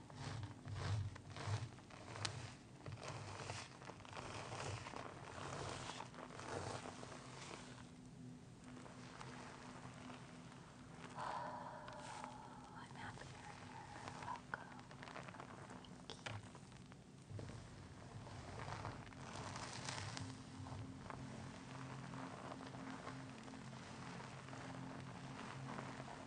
I'm happy you're here. Welcome. Thank you.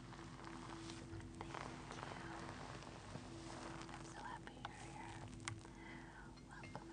I'm so happy you're here. Welcome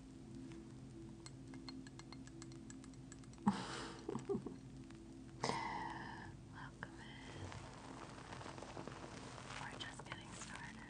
Welcome in. We're just getting started.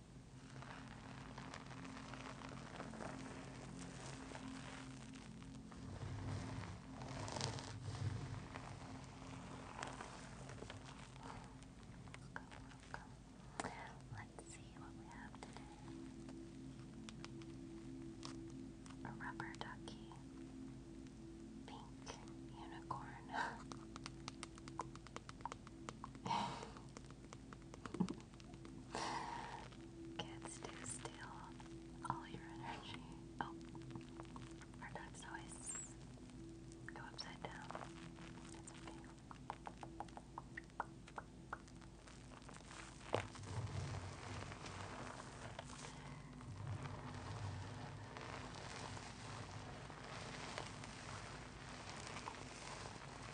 welcome. Let's see what we have today. A rubber ducky. Pink unicorn. Kids do steal all your energy. Oh, our ducks always go upside down. It's Okay,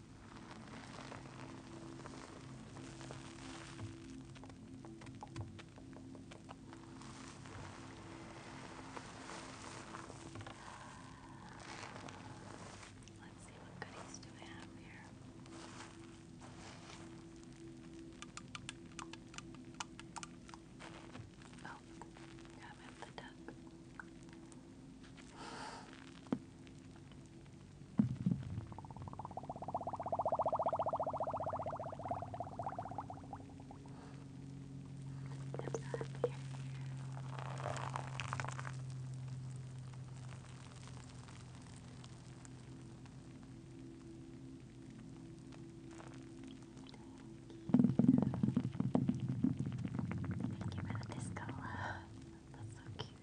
Let's see what goodies do we have here. Oh, got him the duck. Thank you for the disco love. That's so cute.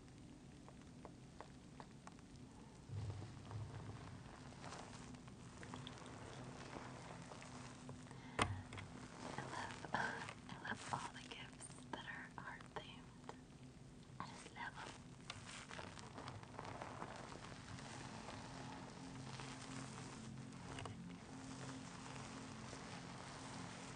I love, I love all the gifts that are art themed. I just love them.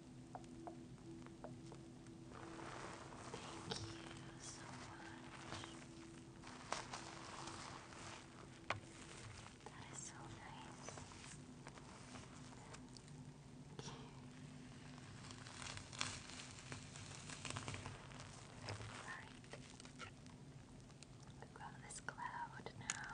Thank you so much. That is so nice. Alright. Grab this cloud now.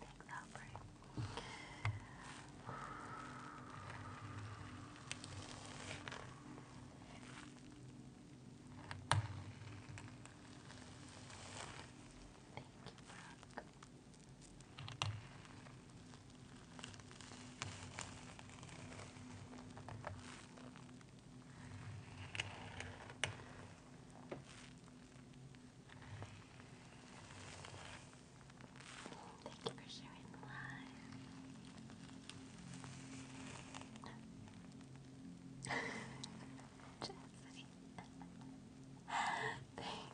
Take that break. Thank you, Thank you for sharing the live. Jesse. Thank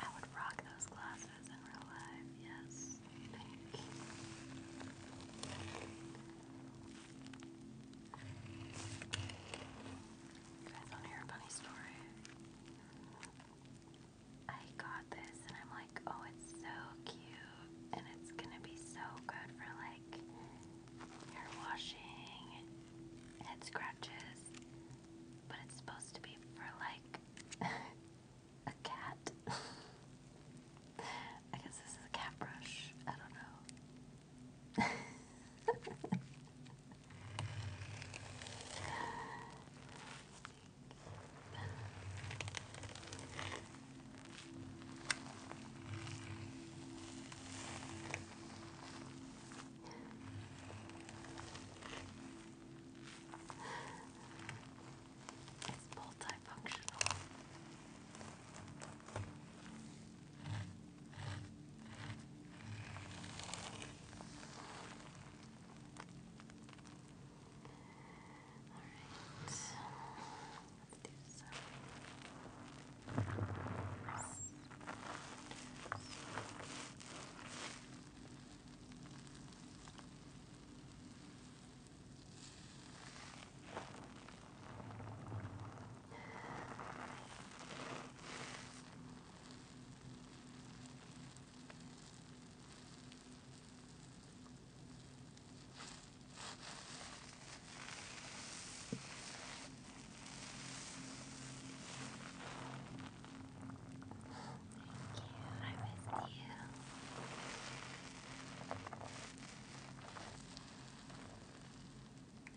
I would rock those glasses in real life, yes. Thank you. You guys want to hear a funny story? I got this and I'm like, oh, it's so cute and it's gonna be so good for like hair washing and head scratches, but it's supposed to be for like a cat. I guess this is a cat brush. I don't know. It's multifunctional so let's do some. Okay. I miss you.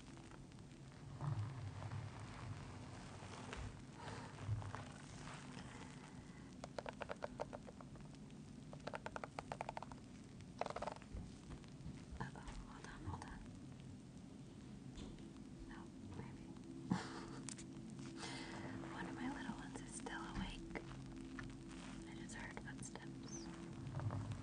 Uh oh, hold on, hold on. No, maybe. One of my little ones is still awake. I just heard footsteps steps. How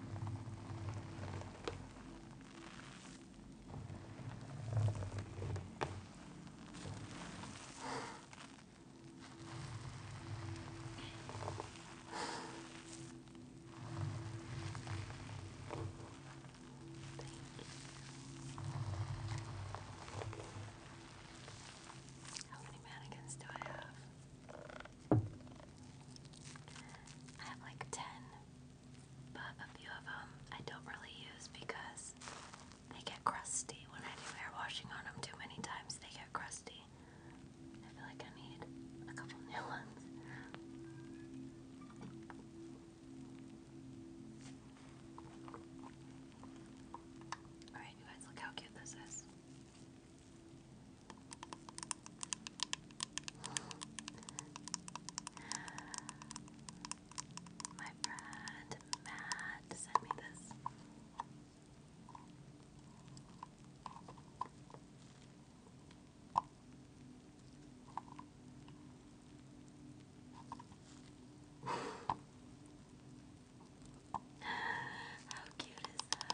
many mannequins do I have? I have like 10, but a few of them I don't really use because they get crusty. When I do hair washing on them too many times, they get crusty. I feel like I need a couple new ones. Alright, you guys, look how cute this is. My friend Matt sent me this. How cute is that?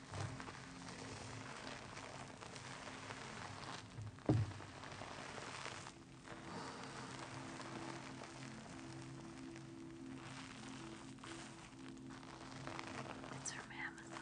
It's from Amazon.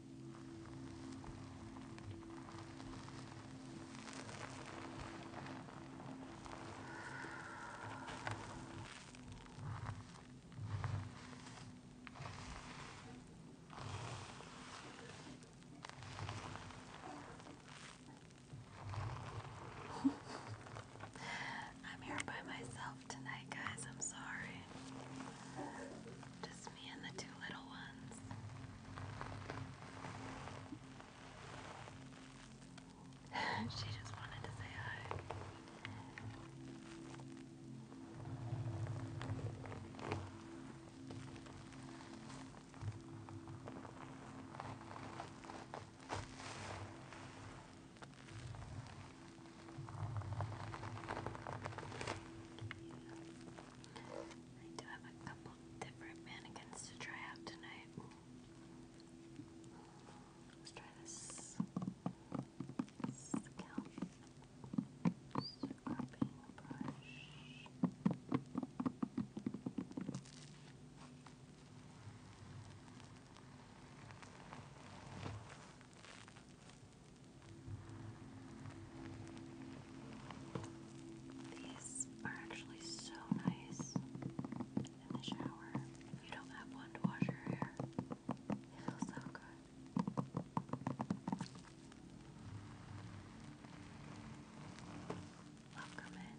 I'm here by myself tonight, guys. I'm sorry. Just me and the two little ones. she just wanted to say hi. I do have a couple different mannequins to try out tonight. Let's try this scalp scrubbing brush. These are actually so nice in the shower. If you don't have one to wash your hair, it feels so good. Welcome in.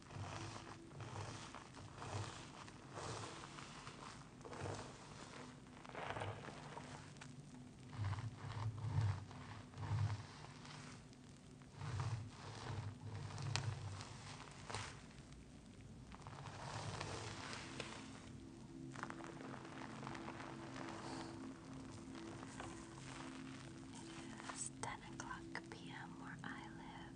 It is 10 o'clock p.m. where I live,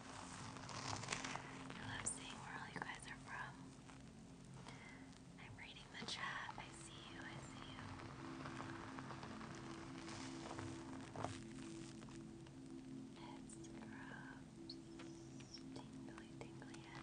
I love seeing where all you guys are from. I'm reading the chat. I see you. I see you. It's scrubs. Tingly, tingly head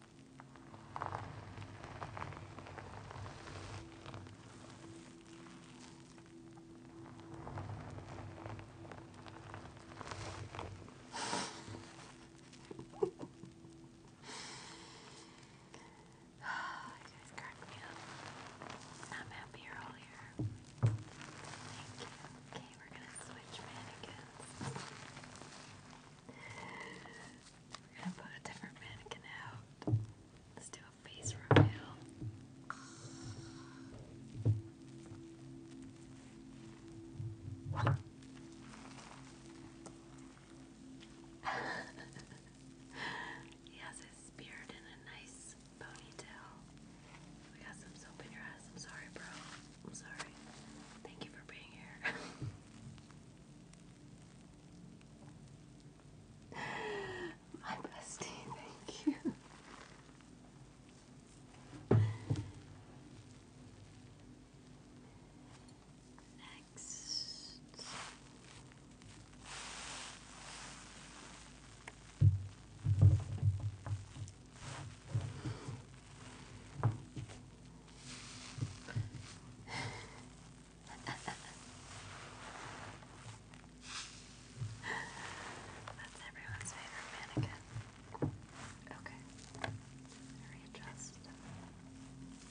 you guys cracked me up. I'm happy you're all here. Thank you. Okay, we're gonna switch mannequins. We're gonna put a different mannequin out. Let's do a face reveal. he has his beard in a nice ponytail. We got some soap in your ass. I'm sorry, bro. I'm sorry. Thank you for being here. My bestie, thank you. Next. That's everyone's favorite mannequin. Okay. Readjust. Thank you.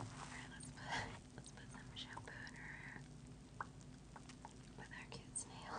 Alright, let's put let's put some shampoo in her hair with our cute snail.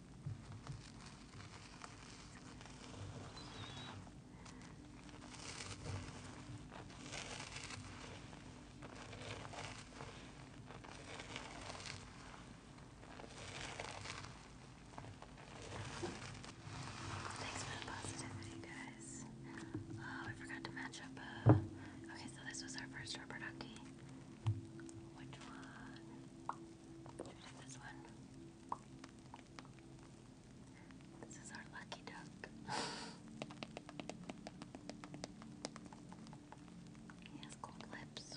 Thanks for the positivity, guys. Oh, I forgot to match up. Uh, okay, so this was our first rubber Which one? this one. This is our lucky duck. he has gold lips.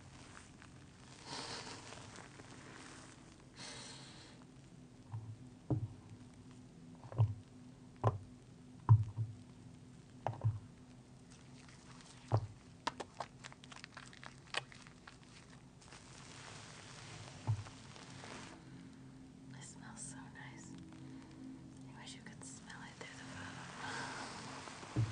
It smells so nice. I wish you could smell it through the phone. All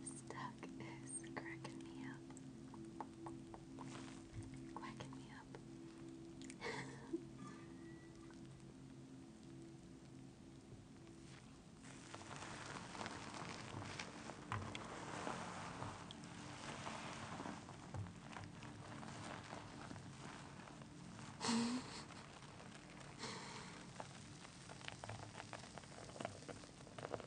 this duck is cracking me up. Quacking me up. you fell over.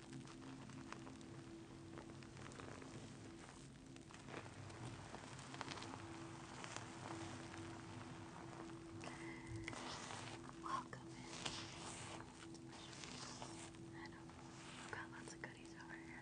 Welcome in. I know. I've got lots of goodies over here.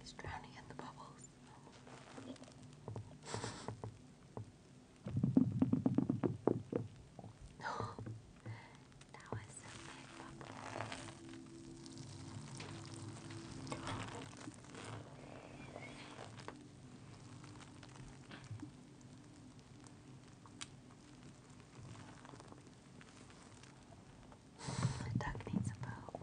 He's drowning in the bubbles. that was a big bubble. The duck needs a bow.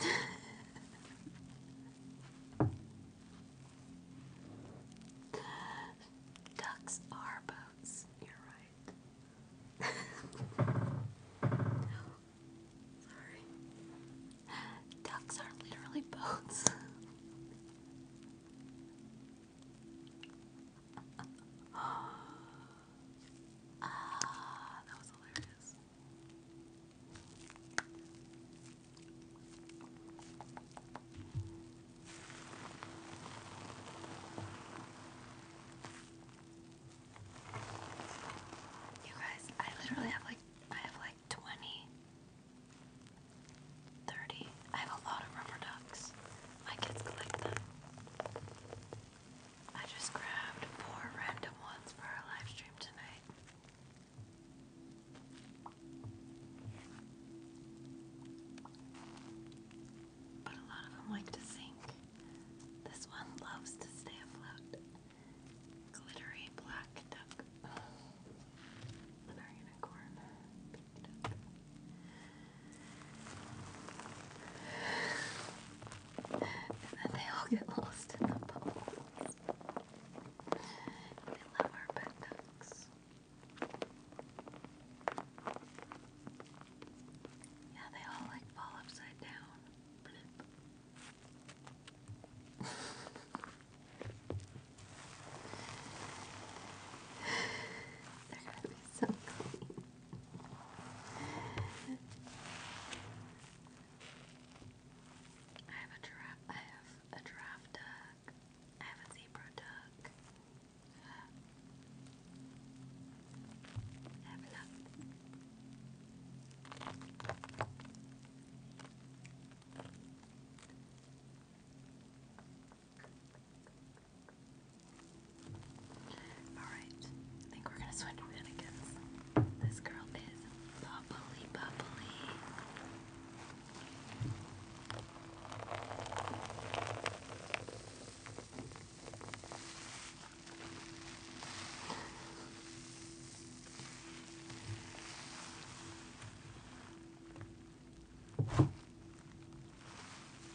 Maybe. Ducks are boats. You're right. sorry. Ducks are literally boats. ah, that was hilarious. You guys, I literally have like I have like 20 I have a lot of rubber ducks. My kids collect them. I just grabbed four random ones for our live tonight. But a lot of them like to sink. This one loves to stay afloat. Glittery black duck. And unicorn. And then they all get lost in the bubbles. We love our pet duck six. Yeah, they all like fall upside down. They're gonna be so clean. I have a giraffe. I have a giraffe. Uh, duck. I have a zebra duck. Alright, I think we're gonna switch mannequins. This girl is bubbly, bubbly.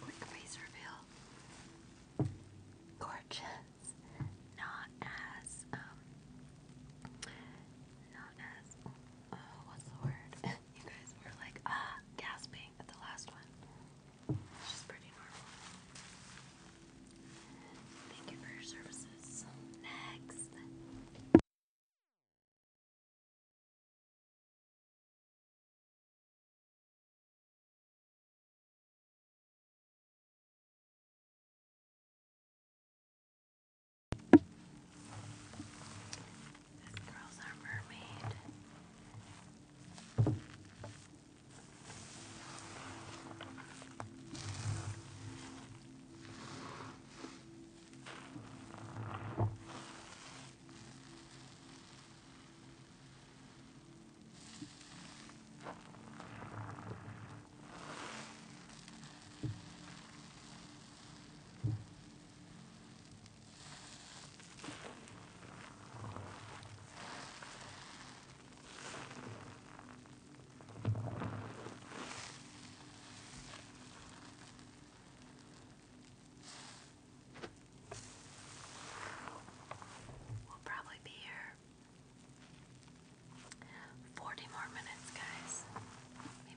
Quick face reveal. Gorgeous. Not as um not as Oh, what's the word? you guys were like, ah, gasping at the last one. Which is pretty normal. Thank you for your services. Next. Good girls are mermaid. We'll probably be here 40 more minutes, guys.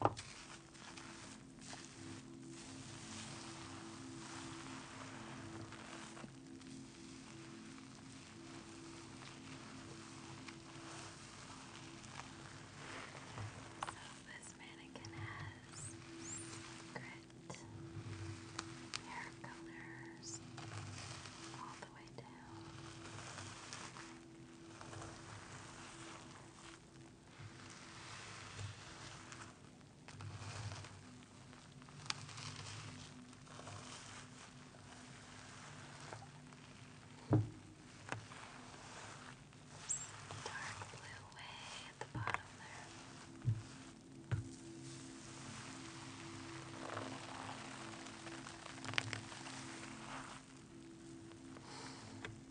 this mannequin has grit, hair colors all the way down. Dark blue way at the bottom there.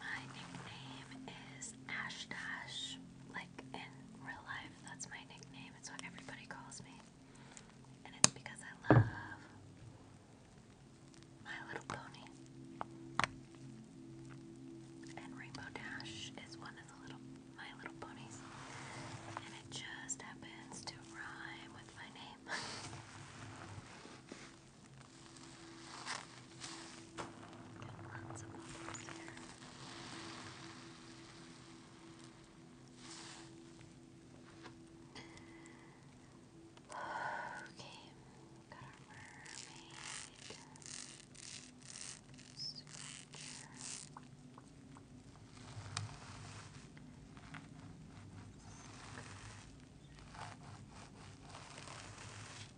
My nickname is Ash Dash, like in real life. That's my nickname. It's what everybody calls me. And it's because I love My Little Pony. And Rainbow Dash is one of the little My Little Ponies. And it just happens to rhyme with my name. Got lots of bubbles here. Okay, got our mermaid. Sculpture. Okay.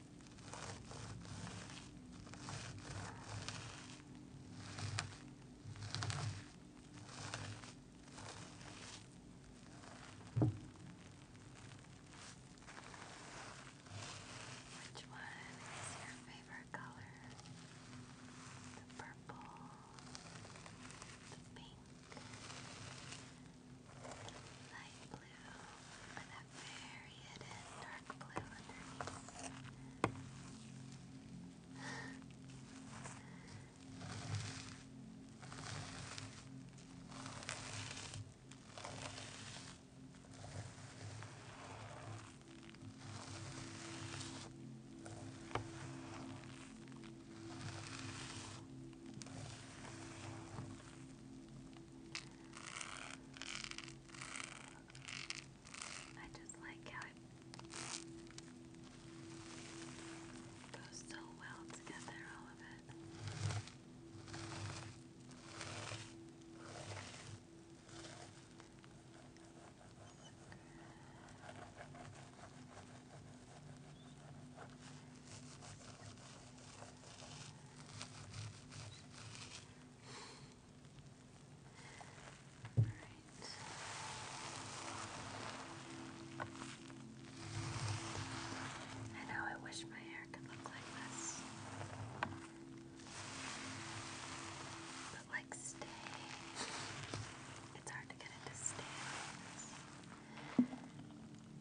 Which one is your favorite color? The purple, the pink, light blue with that very hidden dark blue underneath. I just like how it goes so well together, all of it. I know I wish my hair could look like this. But like stay. It's hard to get it to stay like this.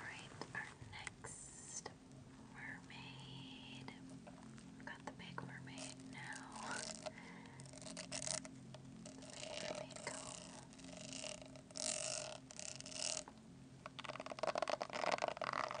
Alright, our next mermaid. we got the big mermaid now. The big mermaid comb. Alright,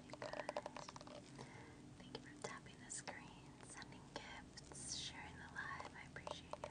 Thank you for tapping the screen, sending gifts, sharing the live. I appreciate you.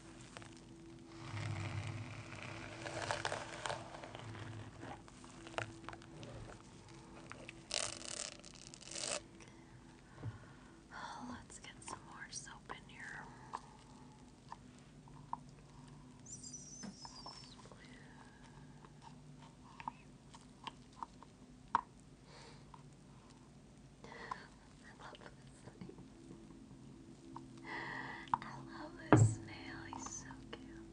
Oh, let's get some more soap in here. I love this I love this snail. He's so cute.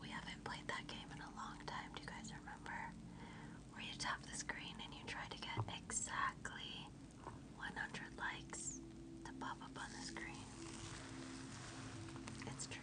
We haven't played that game in a long time. Do you guys remember? Where you tap the screen and you try to get exactly 100 likes to pop up on the screen. It's tricky.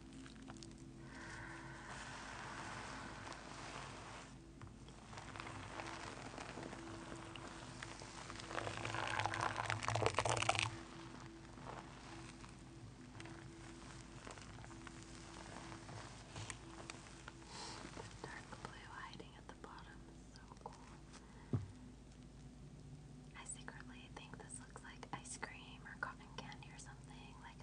Dark blue hiding at the bottom is so cool. I secretly think this looks like ice cream or cotton candy or something. Like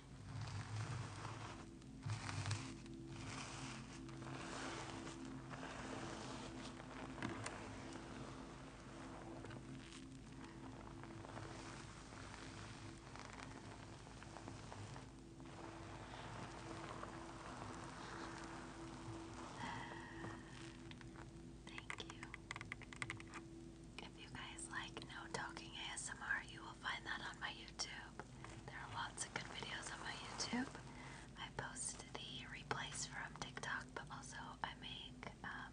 Thank you. If you guys like no talking ASMR, you will find that on my YouTube. There are lots of good videos on my YouTube. I post the replace from TikTok, but also I make um,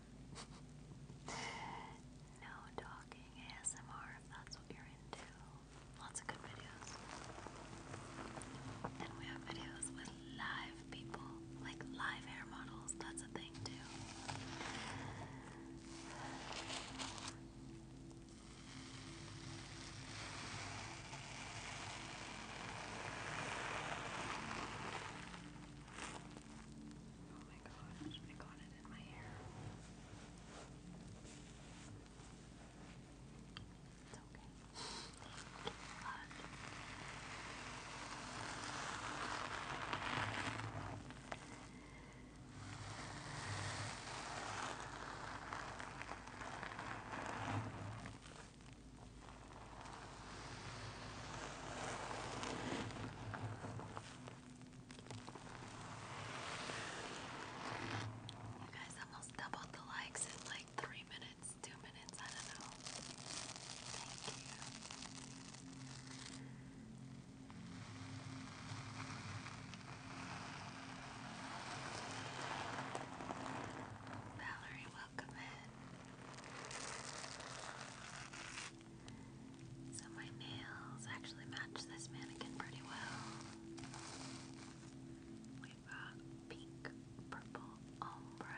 no talking ASMR if that's what you're into. Lots of good videos. And we have videos with live people, like live hair models. That's a thing too. Oh my gosh, I got it in my hair. It's okay. But you guys almost doubled the likes in like three minutes, two minutes, I don't know. Thank you. Valerie, welcome in. So my nails actually match this mannequin pretty well. We've got pink, purple, ombre.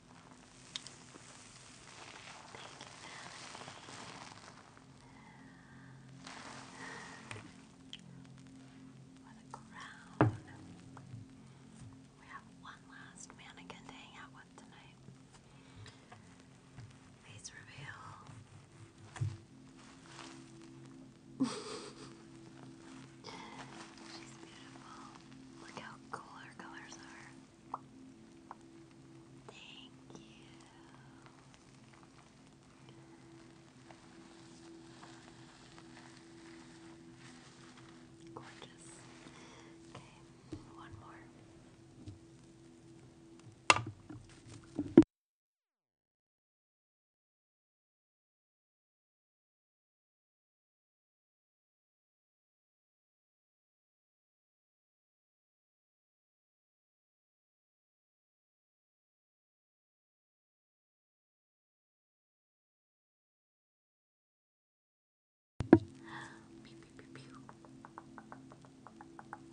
What a crown. We have one last mannequin to hang out with tonight. Face reveal. She's beautiful. Look how how colors are. Thank you. Gorgeous. Okay, one more.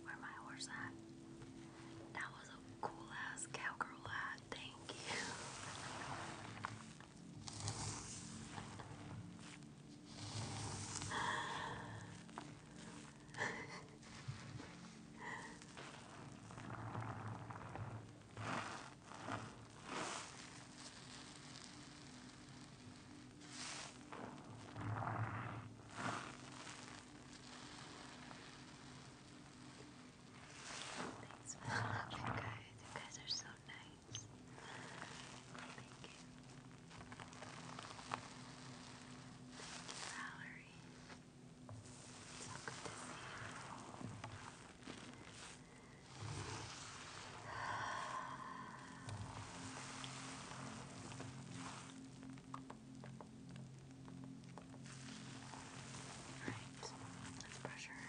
Where my horse at? That was a cool ass cowgirl hat. Thank you. Thanks for you guys. You guys are so nice. Thank you. Thank you, Valerie. It's so good to see you. Right, let's pressure.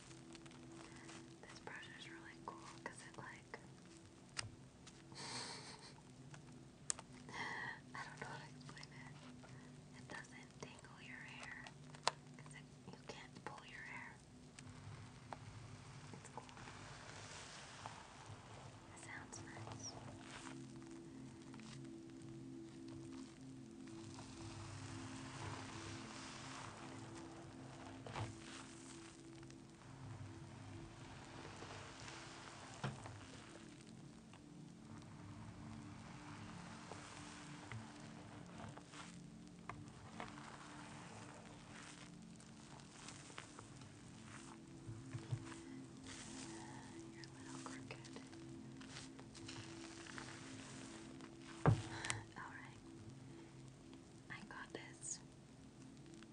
This brush is really cool because it like I don't know how to explain it. It doesn't tingle your hair because you can't pull your hair. It's cool. sounds nice. You're a little crooked. All right. I got this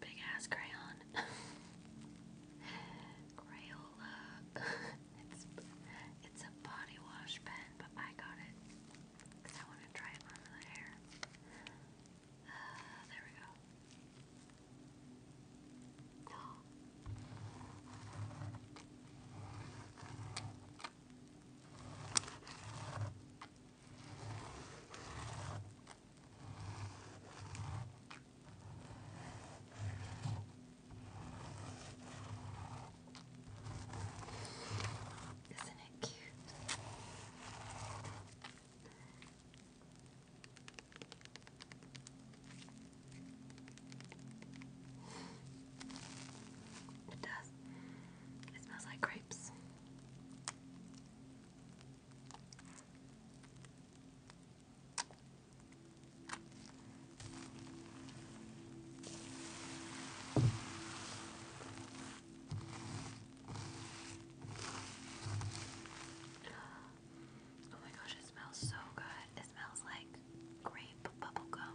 big ass crayon. Crayola. it's it's a body wash pen, but I got it because I want to try it on the hair. Uh, there we go. Oh. Isn't it cute? It does. It smells like grapes. Oh my gosh, it smells so good. It smells like grape bubblegum.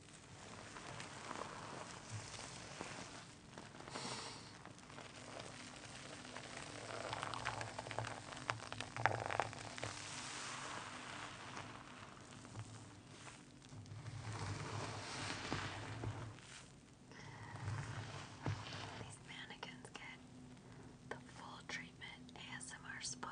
These mannequins get the full treatment ASMR spa.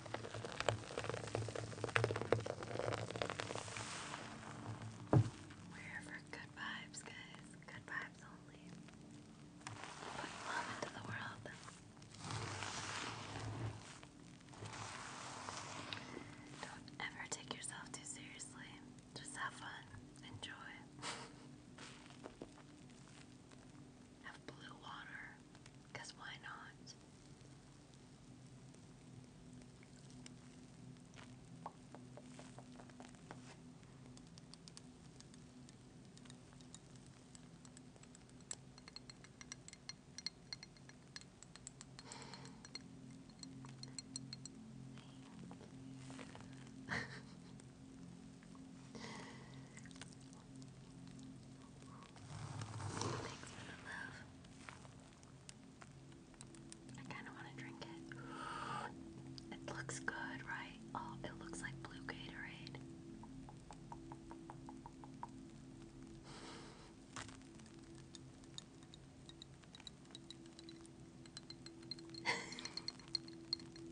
We're for good vibes, guys. Good vibes only. Put love into the world. Don't ever take yourself too seriously. Just have fun. Enjoy. have blue water. Because why not? Thanks for the love. I kind of want to drink it. It looks good, right? Oh, it looks like blue Gatorade.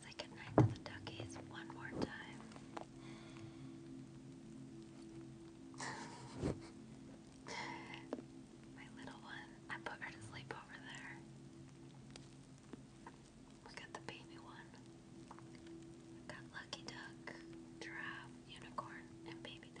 Say goodnight to the duckies one more time. My little one, I put her to sleep over there. We got the baby one. got Lucky Duck, Giraffe, Unicorn, and Baby Duck.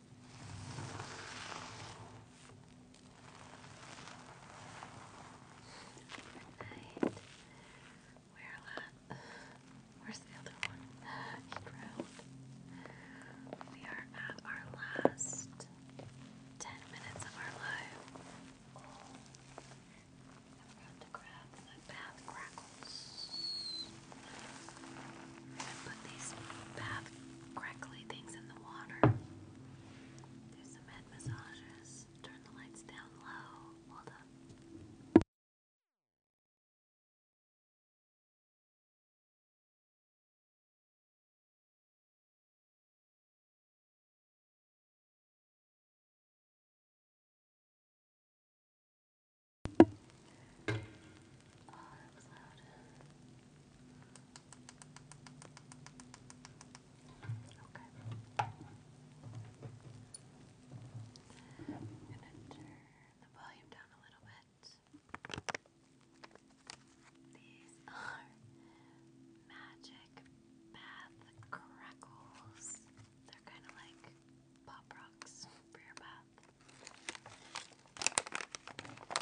Right. Where where's the other one? We are at our last ten minutes of our life. I'm to grab my bath crackles. I'm going to put these bath crackly things in the water. There's some head massages. Turn the lights down low. Hold up. Oh, that was loud. Okay. I'm gonna turn the volume down a little bit. These are magic bath crackles. They're kind of like pop rocks for your bath.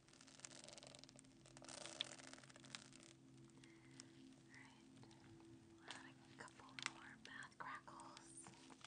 Alright, we'll add a couple more bath crackles. Alright,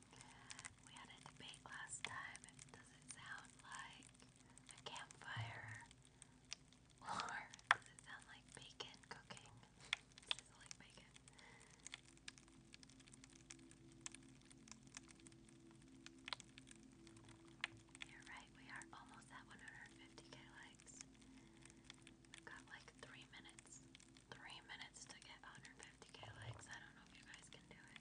We had a debate last time. Does it sound like a campfire? Or does it sound like bacon cooking? Does bacon? You're right, we are almost at 150k likes. We've got like three minutes. Three minutes to get 150k likes. I don't know if you guys can do it.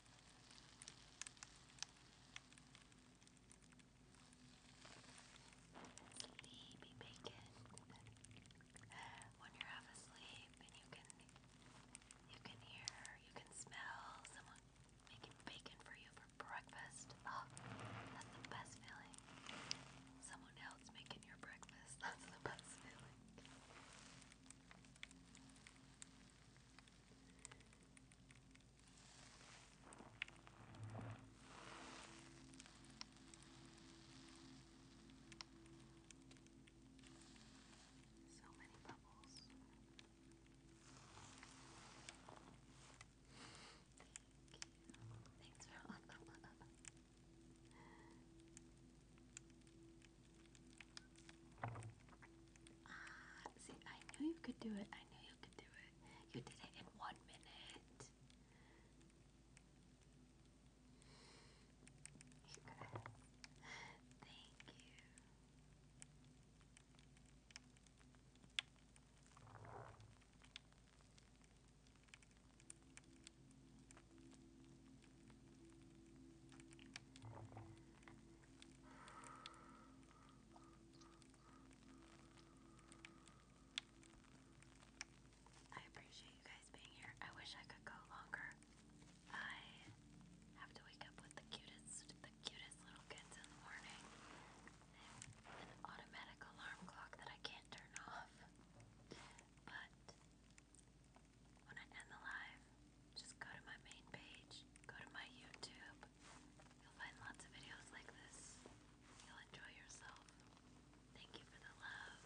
Sleepy bacon. when you're half asleep and you can you can hear, you can smell someone making bacon for you for breakfast. Oh, that's the best feeling. Someone else making your breakfast. That's the best feeling. So many bubbles. Thank you. Thanks for all the love. Ah, see, I knew you could do it. I knew you could do it. You did it in one minute. Thank you. I appreciate you guys being here. I wish I could go longer. I have to wake up with the cutest, the cutest little kids in the morning. An automatic alarm clock that I can't turn off. But when I end the live, just go to my main page, go to my YouTube. You'll find lots of videos like this. You'll enjoy yourself. Thank you for the love,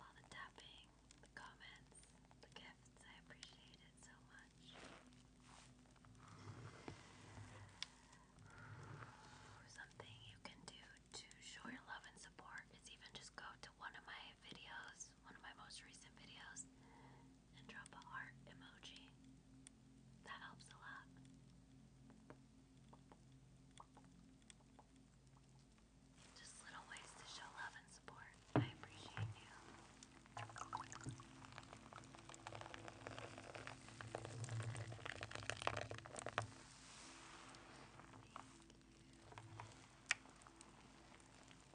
all the tapping, the comments, the gifts. I appreciate it so much. Something you can do to show your love and support is even just go to one of my videos one of my most recent videos and drop a heart emoji. That helps a lot. Just little ways to show love and support. I appreciate you.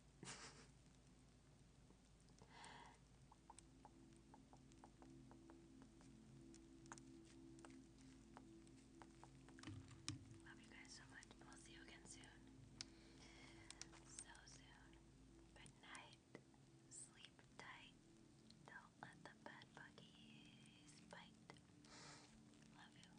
Love you guys so much. We'll see you again soon. So soon. Good night. Sleep tight. Don't let the bad buggies bite. Love you.